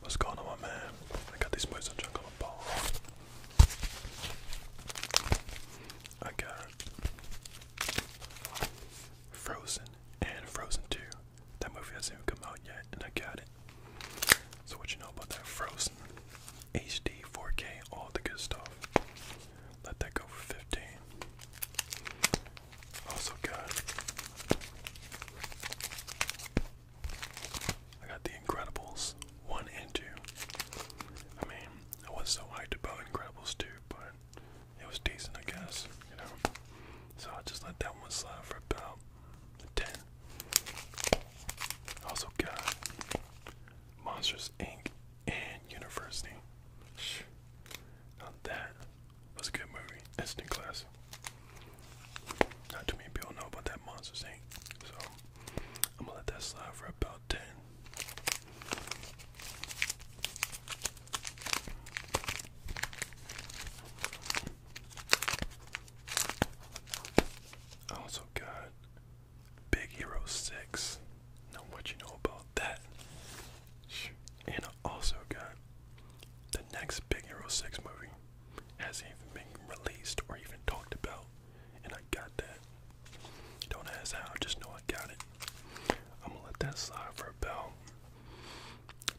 What's going on, man? I got these boys on jungle and ball. I got Frozen and Frozen 2. That movie hasn't even come out yet, and I got it. So, what you know about that? Frozen HD 4K, all the good stuff. Let that go for 15. Also good. I got The Incredibles 1 and 2. I mean, I was so hyped about Incredibles 2, but it was decent, I guess, you know? So I just let that one slide for about 10. Also got Monsters Inc. and University. Not that was a good movie. Instant classic. Not too many people know about that Monsters Inc. So I'm gonna let that slide for about ten. I also got Big Hero 6. Now what you know about that? And I also got the next Big Hero 6 movie hasn't even been released or even talked about. And I got that. Don't ask how, just know I got it. I'm gonna let that slide for about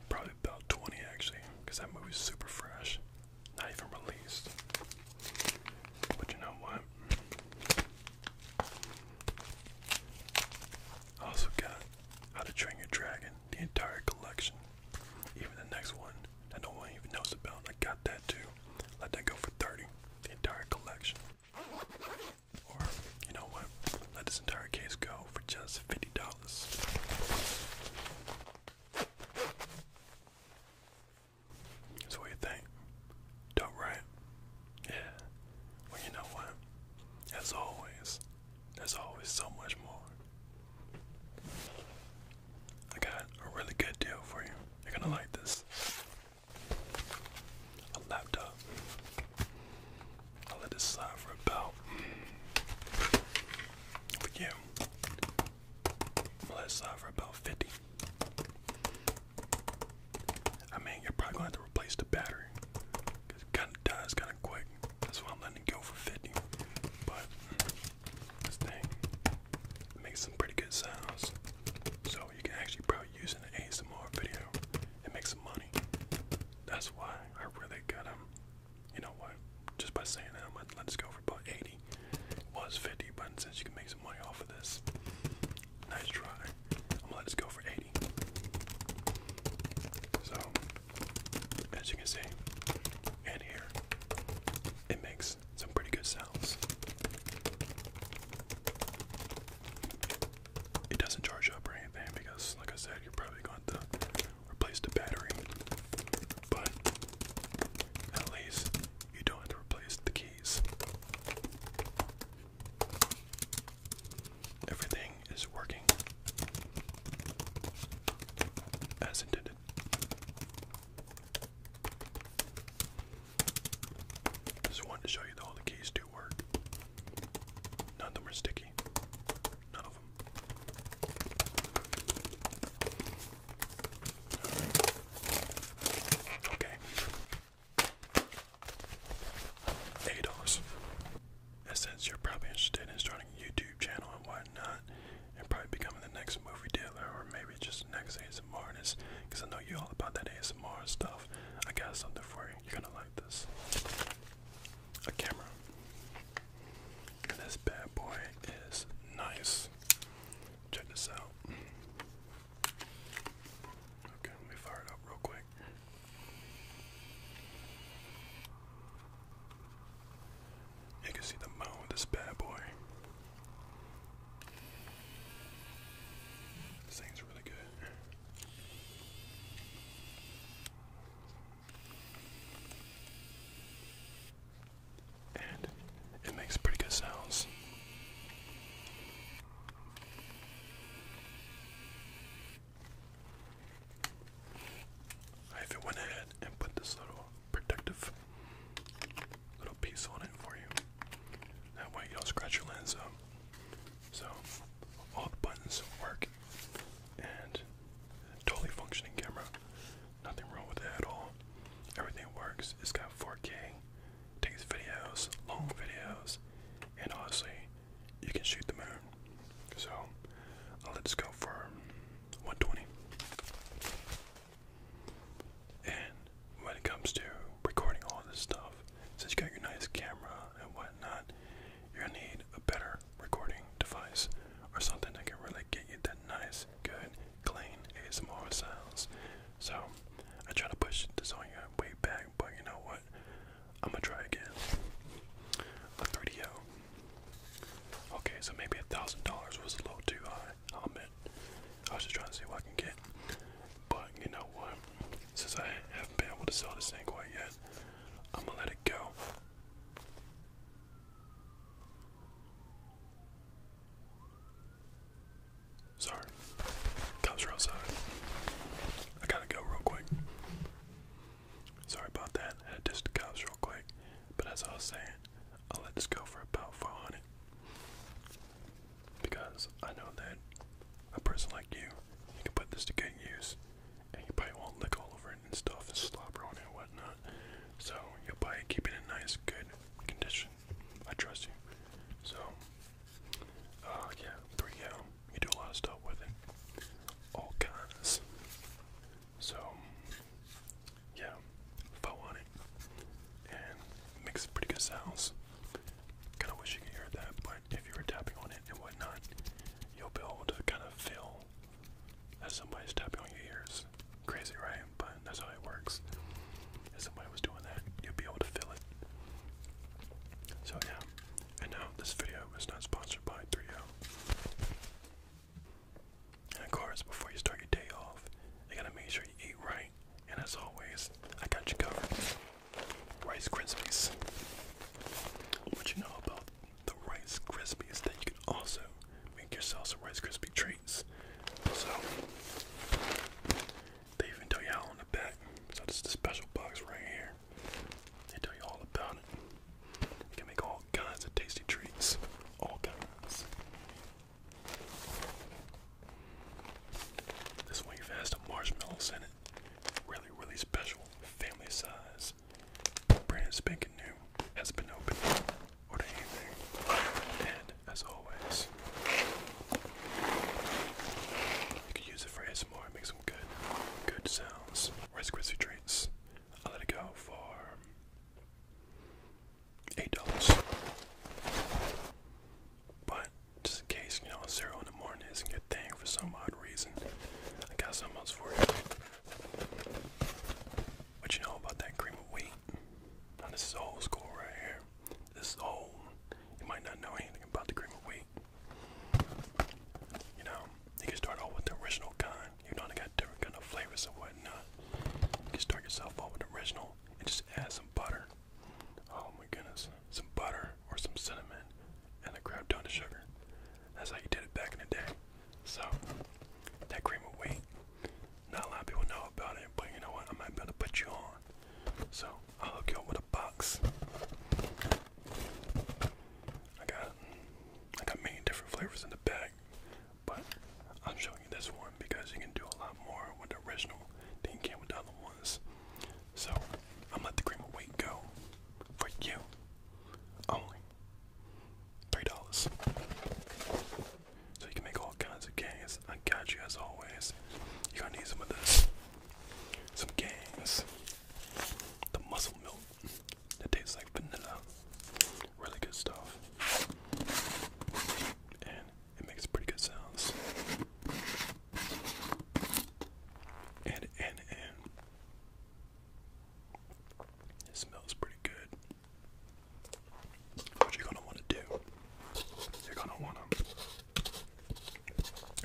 probably about 20 actually, because that movie's super fresh. Not even released. But you know what? I also got How to Train Your Dragon, the entire collection, even the next one that no one even knows about. I got that too. Let that go for 30, the entire collection. Or, you know what? Let this entire case go for just $50. what do you think? Dope, right? Yeah. Well, you know what? As always, there's always so much more. I got a really good deal for you. You're gonna like this. A laptop. I'll let this slide for about. For mm, I'll let it slide for about 50. I mean, you're probably gonna have to replace the battery. Cause it kinda dies kinda quick. That's why I'm letting it go for 50. But this thing makes some pretty good sounds. So you can actually probably use it in an ASMR video and make some money. That's why I really got him. Um, you know what? Just by saying that, I'm gonna let's go for about 80. It was 50, but since you can make some money off of this, Nice try. I'm gonna let go for 80. So, as you can see, and here, it makes some pretty good sounds. It doesn't charge up or anything because, like I said, you're probably going to replace the battery. But at least you don't have to replace the keys. Everything is working as intended. Just wanted to show you that all the keys do work. None of them are sticky. None of them. Okay. Eight And since you're probably interested in starting a YouTube channel and whatnot, and probably becoming the next movie dealer or maybe just the next ASMR artist, because I know you all about that ASMR stuff, I got something for you. You're gonna like this. A camera. this bad boy is nice. Check this out. Okay, let me fire it up real quick. You can see the mount this bad boy. This thing's really good and it makes pretty good sounds. I even went ahead and put this little protective little piece on it for you. That way you don't scratch your lens up. So all the buttons work and totally functioning camera. Nothing wrong with it at all. Everything works. It's got 4K takes videos, long videos, and honestly, you can shoot the moon. So I'll let's go for 120. And when it comes to recording all this stuff, since you got your nice camera and whatnot, you're gonna need a better recording device or something that can really get you that nice good, clean ASMR sounds. So I try to push this on your way back, but you know what? I'm gonna try again. A 3DO. Okay, so maybe a thousand dollars was a little too high. I'll admit. I was just trying to see what I can get. But you know what? Since I haven't been able to sell this thing quite yet, I'm gonna let it go. Sorry. Cops are outside. I gotta go real quick. Sorry about that. I had just the cops real quick. But as I was saying, I'll let this go for about 400. Because I know that a person like you, you can put this to good use. And you probably won't lick all over it and stuff and slobber on it and whatnot. So you'll probably keep it in nice, good condition. I trust you. So, uh, yeah, 3M. You do a lot of stuff with it. All kinds. So, yeah, foe on it. And makes pretty good sounds. Kind of wish you could hear that, but if you were tapping on it and whatnot, you'll be able to kind of feel that's somebody's tapping on your ears. Crazy, right? But that's how it works. If somebody was doing that, you'd be able to feel it. So yeah. And now this video is not sponsored by 3O. And of course, before you start your day off, you gotta make sure you eat right. And as always, I got you covered. Rice Krispies. What you know about the Rice Krispies that you can also make yourself some Rice Krispie treats. So they even tell you how on the back. So this is the special box right here. They tell you all about it. can make all kinds of tasty treats. All kinds. This one even has the marshmallows in it. Really, really special. Family size. Brand spanking new. Has been opened or anything. And as always, you can use it for ASMR and make some good, good sounds. Rice Krispie treats. I let it go for eight dollars. But just in case, you know, zero in the morning isn't good thing for some odd reason. I got some else for you. What you know about that cream of wheat? this is old school right here. This old. You might not know anything about the cream of wheat. You know, you can start off with the original kind. You know they got different kind of flavors and whatnot. You can start yourself off with the original and just add some butter. Oh my goodness. Some butter or some cinnamon and a crap ton of sugar. That's how you did it back in the day. So that cream will wait. Not a lot of people know about it, but you know what? I might be able to put you on. So I'll hook you up with a box. I got I got many different flavors in the bag, but I'm showing you this one because you can do a lot more with original than you can with the other ones. So I'm let the cream of wheat go for you only three dollars. So you can make all kinds of games. I got you as always. You're to need some of this. Some games. The muscle milk. It tastes like vanilla. Really good stuff. And it makes pretty good sounds. And and and it smells pretty good. What you're gonna want to do? You're gonna wanna.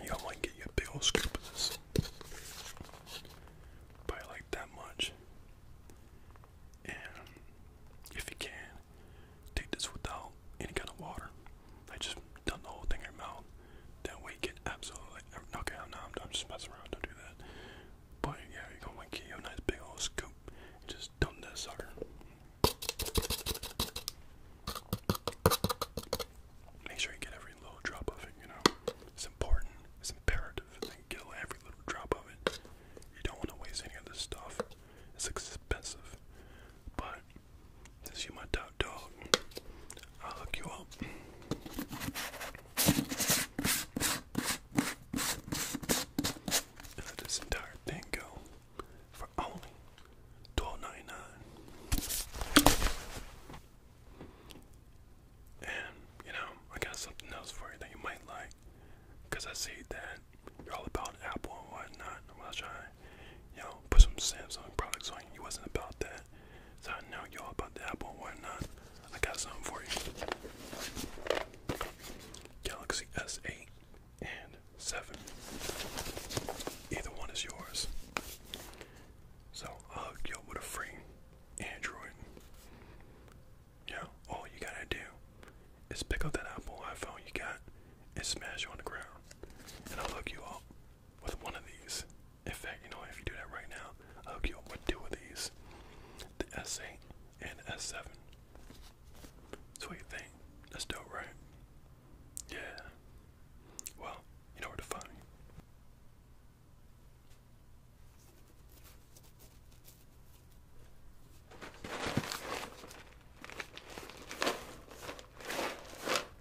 You don't want to get you a scoop this. Probably like that much. And if you can, take this without any kind of water. I just done the whole thing in your mouth. That way get absolutely. Okay, no, I'm just messing around. Don't do that. But yeah, you're gonna you a nice big old scoop just dump that sucker. Make sure you get every little drop of it, you know. It's important, it's imperative get every little drop of it. You don't want to waste any of this stuff. It's expensive. But since you my top dog, I'll hook you up. Let this entire thing go for only twelve ninety nine. And you know, I got something else for you that you might like, I see that you're all about Apple and whatnot. Well, I was trying, you know, put some Samsung products on. You wasn't about that. So I know y'all about the Apple whatnot. I got something for you. Galaxy S8 and 7. Either one is yours. So I'll hook you up with a free Android. Yeah, all you gotta do is pick up that Apple iPhone you got and smash it on the ground. And I'll hook you up with one of these. In fact, you know, if you do that right now, I'll hook you up with two of these the S8 and the S7. So, what you think? That's dope, right? Yeah. Well, you know where to find me.